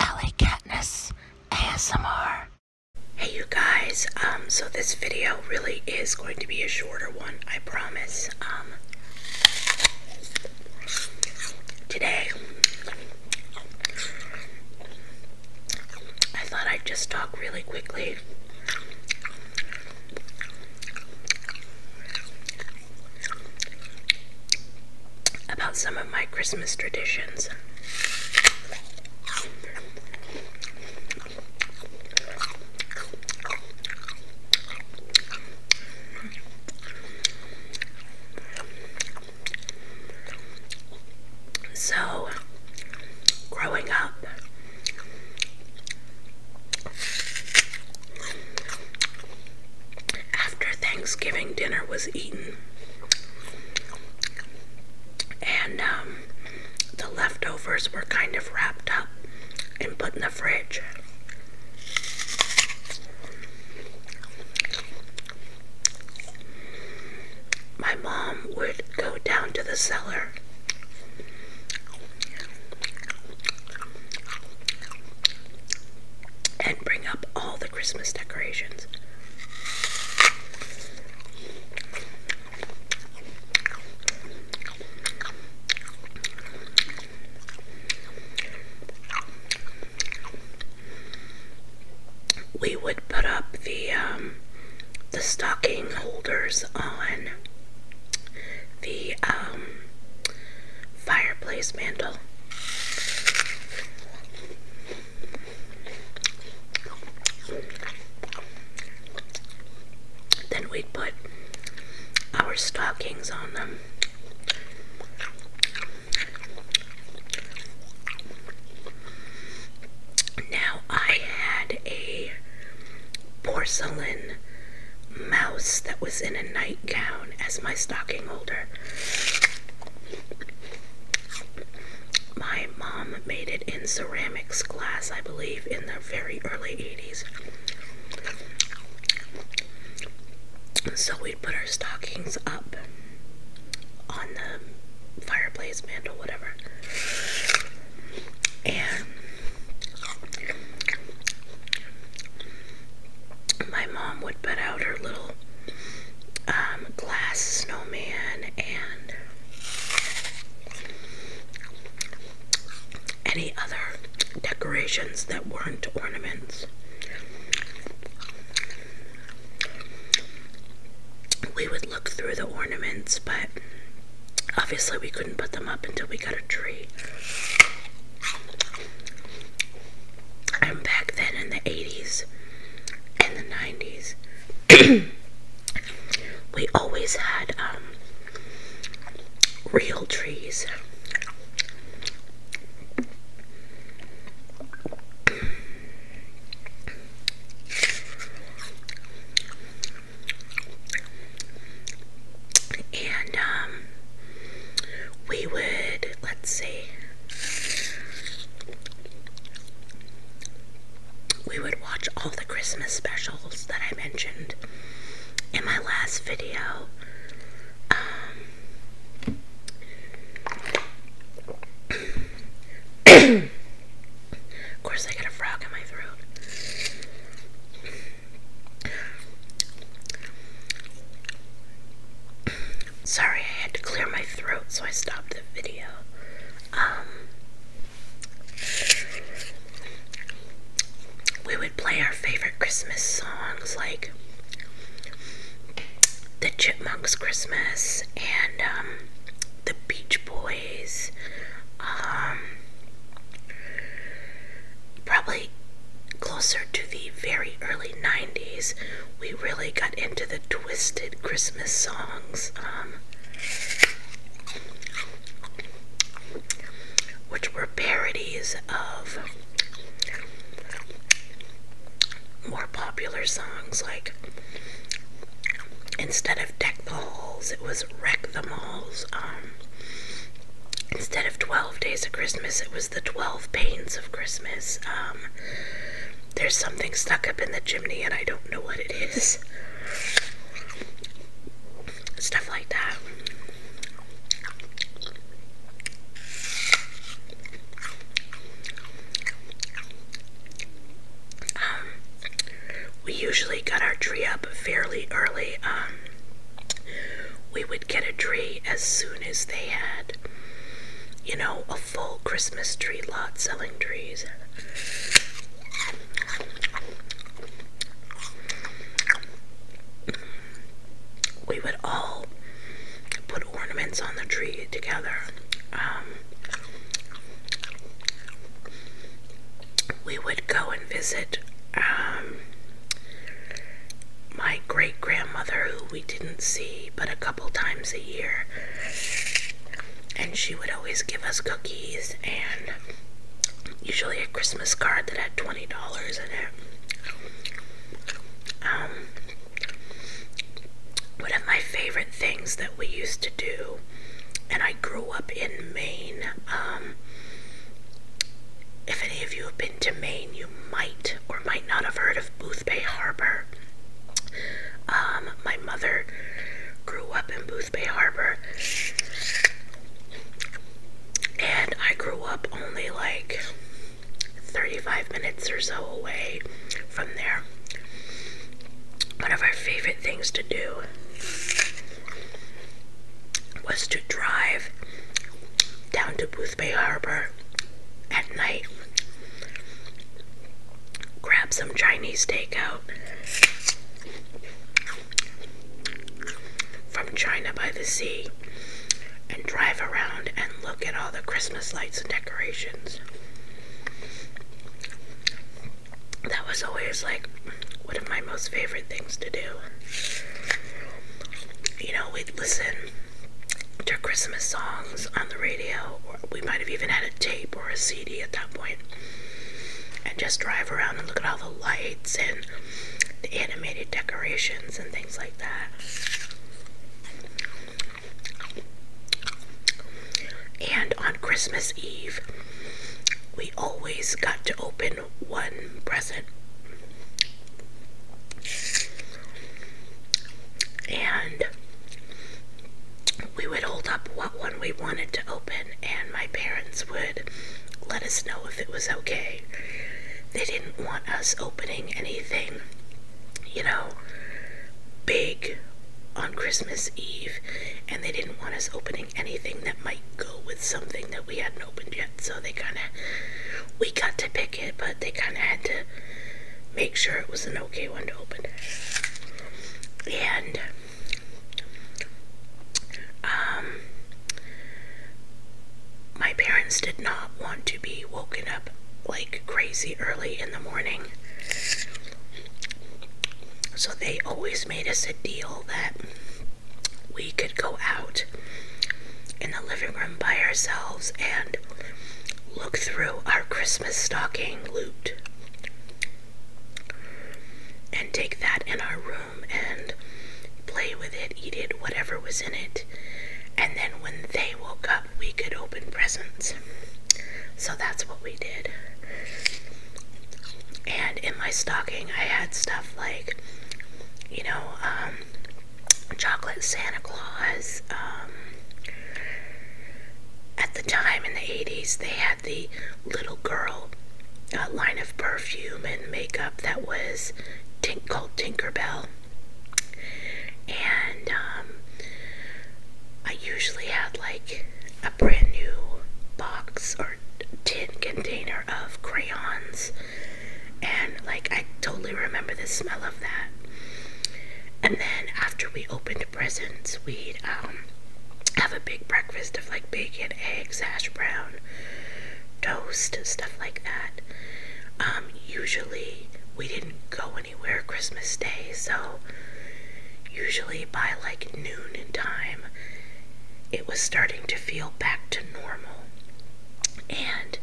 LA Katniss ASMR. Hey you guys, um, so this video really is going to be a shorter one, I promise. Um, today, I thought I'd just talk really quickly about some of my Christmas traditions. So, growing up, after Thanksgiving dinner was eaten, and um, the leftovers were kind of wrapped up and put in the fridge. My mom would go down to the cellar and bring up all the Christmas decorations. We would put up the um, the stocking holders on the um, fireplace mantle. Then we'd put our stockings on them. Now I had a porcelain mouse that was in a nightgown as my stocking holder. My mom made it in ceramics glass, I believe, in the very early 80s. So we'd put our stockings up on the fireplace mantle, whatever. And my mom would put out her little um, glass snowman and any other decorations that weren't ornaments. We would look through the ornaments, but Obviously, we couldn't put them up until we got a tree. And back then in the 80s and the 90s, we always had um, real trees. And um, we would, let's see, we would watch all the Christmas specials that I mentioned in my last video. Um, of course, I got a frog in my throat. Sorry, I had to clear my throat, so I stopped the video. Um, we would play our favorite Christmas songs like The Chipmunks Christmas and um, The Beach Boys. Um, probably closer to the very early 90s we really got into the twisted Christmas songs um, which were parodies of more popular songs like instead of deck balls it was Christmas the malls. Um, instead of 12 days of Christmas, it was the 12 pains of Christmas. Um, there's something stuck up in the chimney, and I don't know what it is. Stuff like that. Um, we usually got our tree up fairly early. Um, we would get a tree as soon as they had, you know, a full Christmas tree lot selling trees. We would all put ornaments on the tree together. Um, we would go and visit um, my great grandmother, who we didn't see but a couple times a year, and she would always give us cookies and usually a Christmas card that had $20 in it. Um, one of my favorite things we used to do, and I grew up in Maine. Um, if any of you have been to Maine, you might or might not have heard of Boothbay Harbor. Um, my mother grew up in Boothbay Harbor, and I grew up only like 35 minutes or so away from there. One of our favorite things to do was to drive down to Boothbay Harbor at night, grab some Chinese takeout from China by the Sea, and drive around and look at all the Christmas lights and decorations. That was always like one of my most favorite things to do. You know, we'd listen to Christmas songs on the radio, or we might have even had a tape or a CD at that point, and just drive around and look at all the lights and the animated decorations and things like that. And on Christmas Eve, we always got to open one present. And we would hold up what one we wanted to open, and my parents would let us know if it was okay. They didn't want us opening anything, you know, big on Christmas Eve, and they didn't want us opening anything that might go with something that we hadn't opened yet. So they kind of, we got to pick it, but they kind of had to make sure it was an okay one to open. And, um, my parents did not want to be woken up like crazy early in the morning. So they always made us a deal that we could go out in the living room by ourselves and look through our Christmas stocking loot and take that in our room and play with it, eat it, whatever was in it. And then when they woke up, we could open presents. So that's what we did. And in my stocking, I had stuff like, you know, um, chocolate Santa Claus. Um, at the time in the 80s, they had the little girl uh, line of perfume and makeup that was tink called Tinkerbell and um, I usually had like a brand new box or tin container of crayons, and like I totally remember the smell of that. And then after we opened presents, we'd um, have a big breakfast of like bacon, eggs, hash brown, toast, stuff like that. Um, usually we didn't go anywhere Christmas Day, so usually by like noon in time, it was starting to feel back to normal. And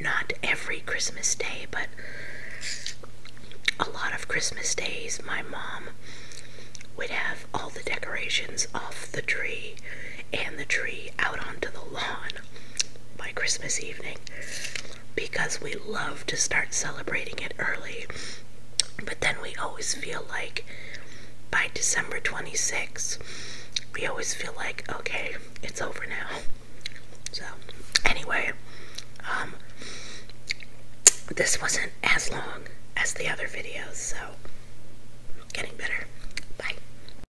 not every Christmas Day, but a lot of Christmas days, my mom would have all the decorations off the tree and the tree out onto the lawn by Christmas evening because we love to start celebrating it early. But then we always feel like by December 26th, we always feel like, okay, it's over now. So, anyway, um, this wasn't as long as the other videos, so getting better. Bye.